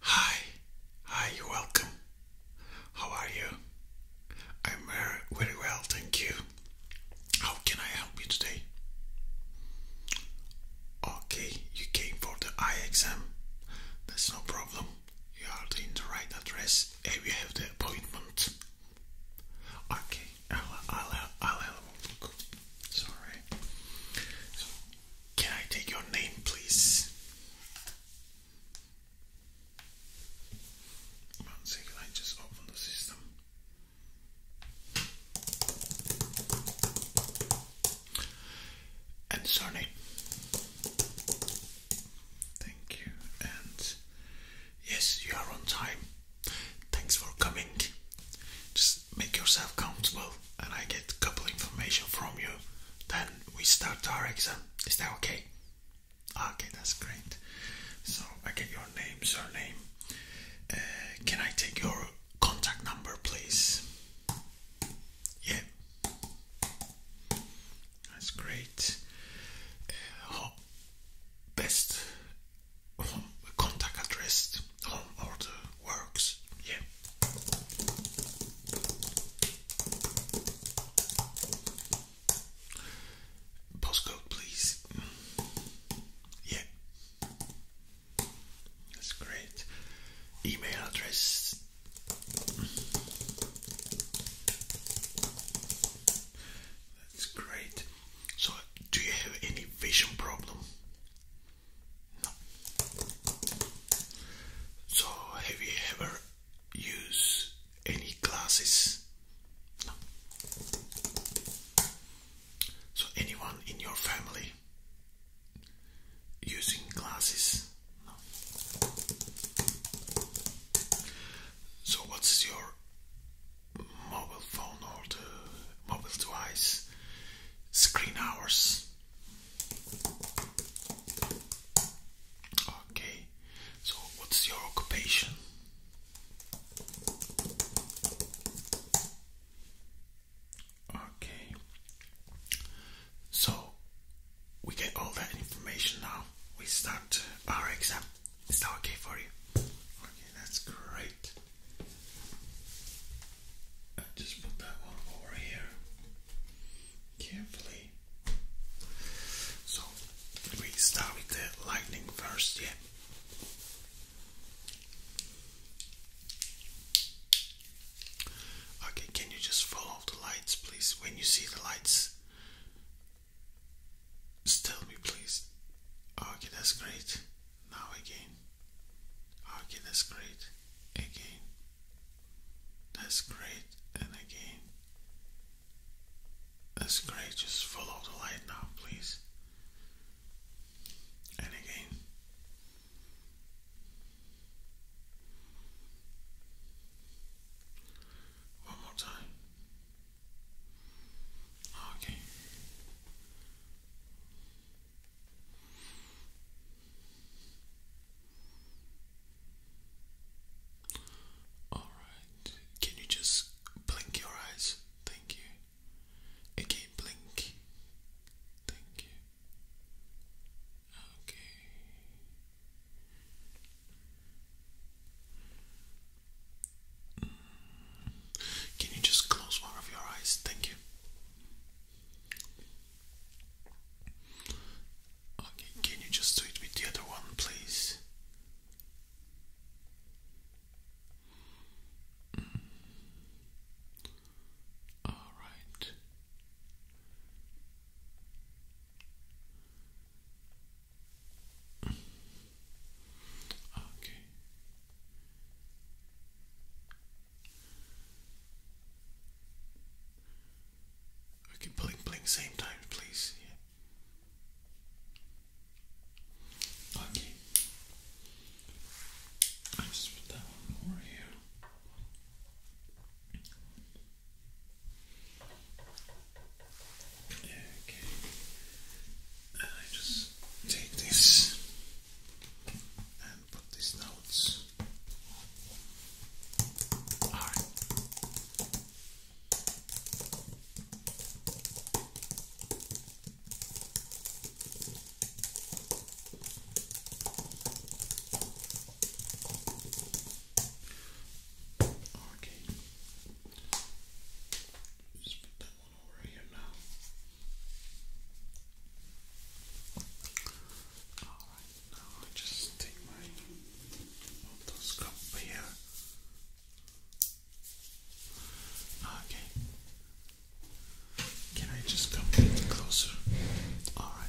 Hi, hi, welcome. How are you? I'm uh, very well, thank you. How can I help you today? Okay, you came for the eye exam. That's no problem. You are in the right address and we have the appointment. Okay, I'll, I'll, I'll have a Sorry. Can I take your name, please? One second, I just open the system. And surname. Thank you. And yes, you are on time. Thanks for coming. Just make yourself comfortable and I get a couple information from you, then we start our exam. Is that okay? Okay, that's great. So I get your name, surname. Uh, can I take your contact number, please? Yeah, that's great. Uh, best contact address, home order works. Yeah. Postcode, please. Yeah. That's great. Email address. That's great. So, do you have any vision problem? So, have you ever used any glasses? So, anyone in your family using glasses? So, what's your mobile phone or the mobile device screen hours. Okay, so what's your occupation? Okay, so we get all that information now. We start our exam. Is that okay for you? Okay, that's great. And just put that one over here carefully. So we start with the lightning first, yeah. Okay, can you just follow the lights, please? When you see the lights, just tell me, please. Okay, that's great. Now again. Okay, that's great. Again. That's great. And again. That's great. Just follow the light now, please. And again. One more time. Okay. All right. Can you just blink your eyes? Thank you. Again, blink. Thank you. Okay. Can you just close one of your eyes? Thank you. Okay, can you just do it with the other one, please? Mm. All right. Okay. Okay, blink, blink, same time, please. Okay. I just put that one more here. Okay and I just take this and put these notes. Okay one Alright, now I just take my otoscope here. Okay. Can I just come closer? Alright.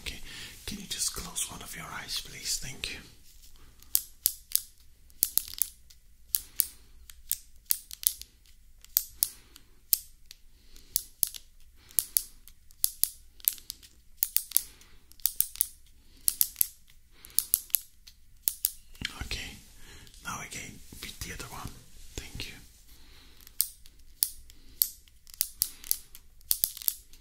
Okay, can you just close one of your eyes, please? Thank you. Okay, now again with the other one. Thank you.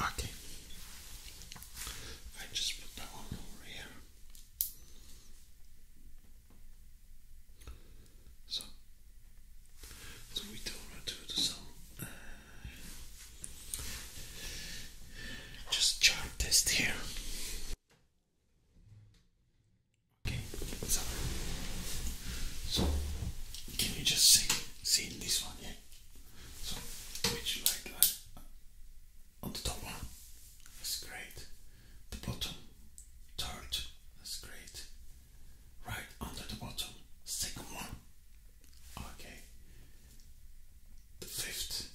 Okay, I just put that one over here. So, so we do to the song. Uh, just chart test here. Okay, so, so can you just see see this one? Yeah. So which light light uh, on the top one? That's great. The bottom, third. That's great. Right under the bottom, second one. Okay. The fifth.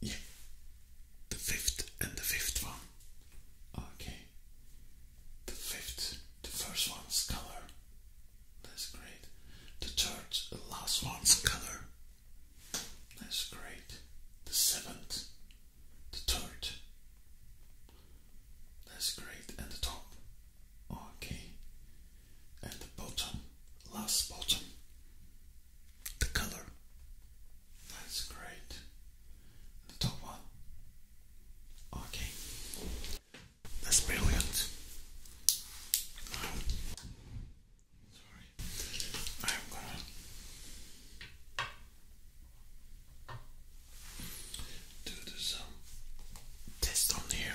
Yeah. The fifth and the fifth one. Okay. The fifth, the first one's color. That's great. The third, the last one's color. That's great. The seventh, the third. That's great. And the top. Okay and the bottom, last bottom, the colour. That's great. The top one. Okay. That's brilliant. sorry, I'm gonna do some test on here.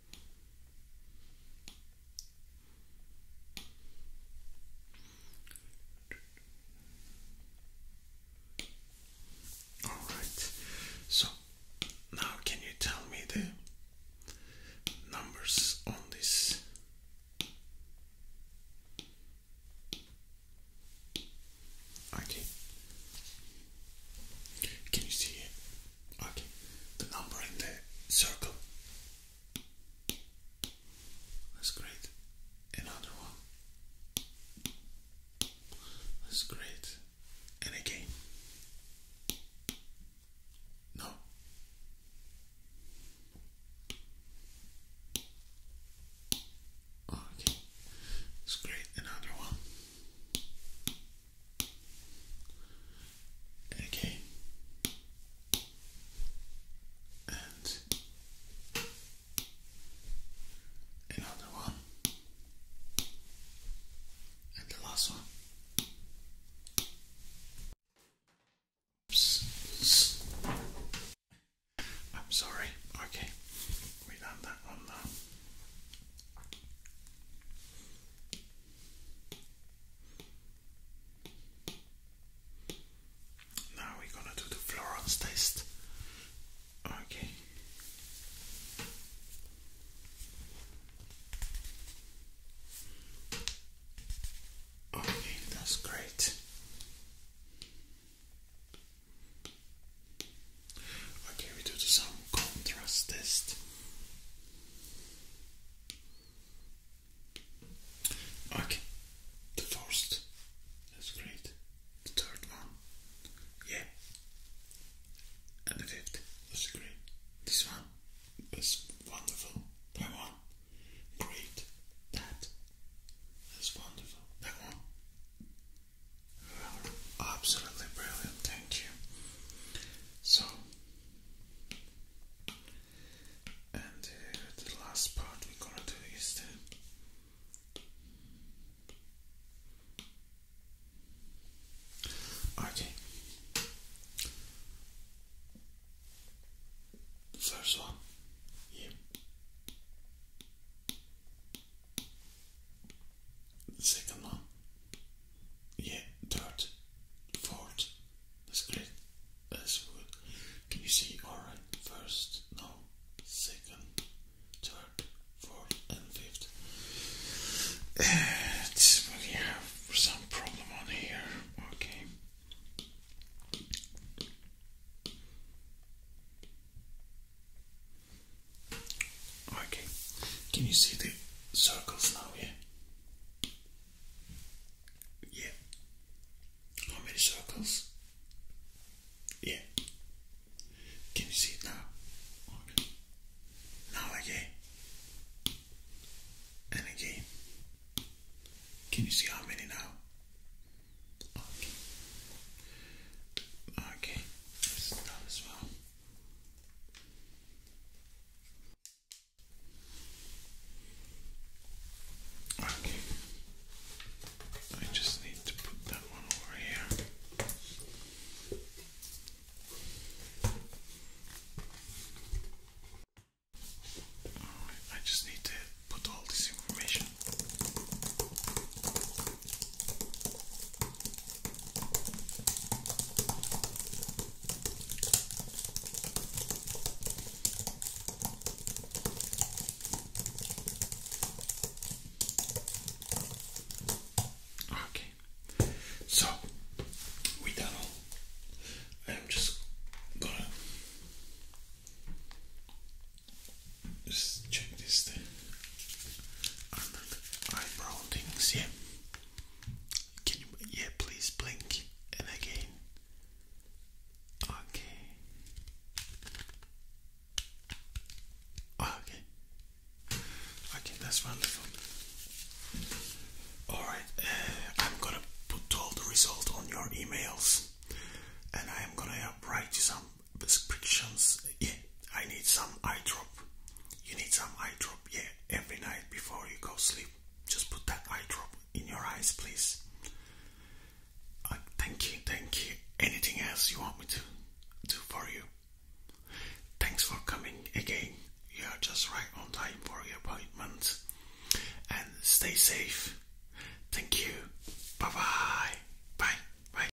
All right. So now can you tell me the numbers on this? Okay. Can you see Okay, the number in the circle. That's great. Another one. That's great. And again. No. Okay. That's great. Another one again, and another one, and the last one. I'm sorry. Okay, we done that one now. Now we're gonna do the Florence test. Okay. Okay, that's great. Okay, we do some contrast test. Okay, the first, that's great. The third one, yeah. And the fifth, that's great. This one is wonderful. That one, great. That, that's wonderful. That one, Absolutely brilliant, thank you. So, and uh, the last part we're gonna do is the okay. first one, yeah second one. Yeah, third, fourth. That's great. That's good. Can you see? Alright, first, no, second, third, fourth, and fifth. It's, we have some problem on here. Okay. Okay, can you see the circles now here? Yeah. How many circles? Yeah. Can you see it now? Okay. Now again. And again. Can you see how many now? Okay. Okay. This as well. Okay. I just need to put that one over here. I just need to put all this information Okay, so we that all, I'm just gonna just check this thing. I remember eyebrow yeah. Can you, yeah, please blink and again. Okay. Okay. Okay, that's wonderful. Alright, uh, I'm gonna put all the result on your emails and I am gonna write some prescriptions. Yeah, I need some eye drop. You need some eye drop. Yeah, every night before you go sleep, just put that eye drop in your eyes, please. Uh, thank you, thank you. Anything else you want me to do for you? Thanks for coming again. You are just right on time for your appointment. And stay safe. Thank you. Bye bye. Bye. Bye.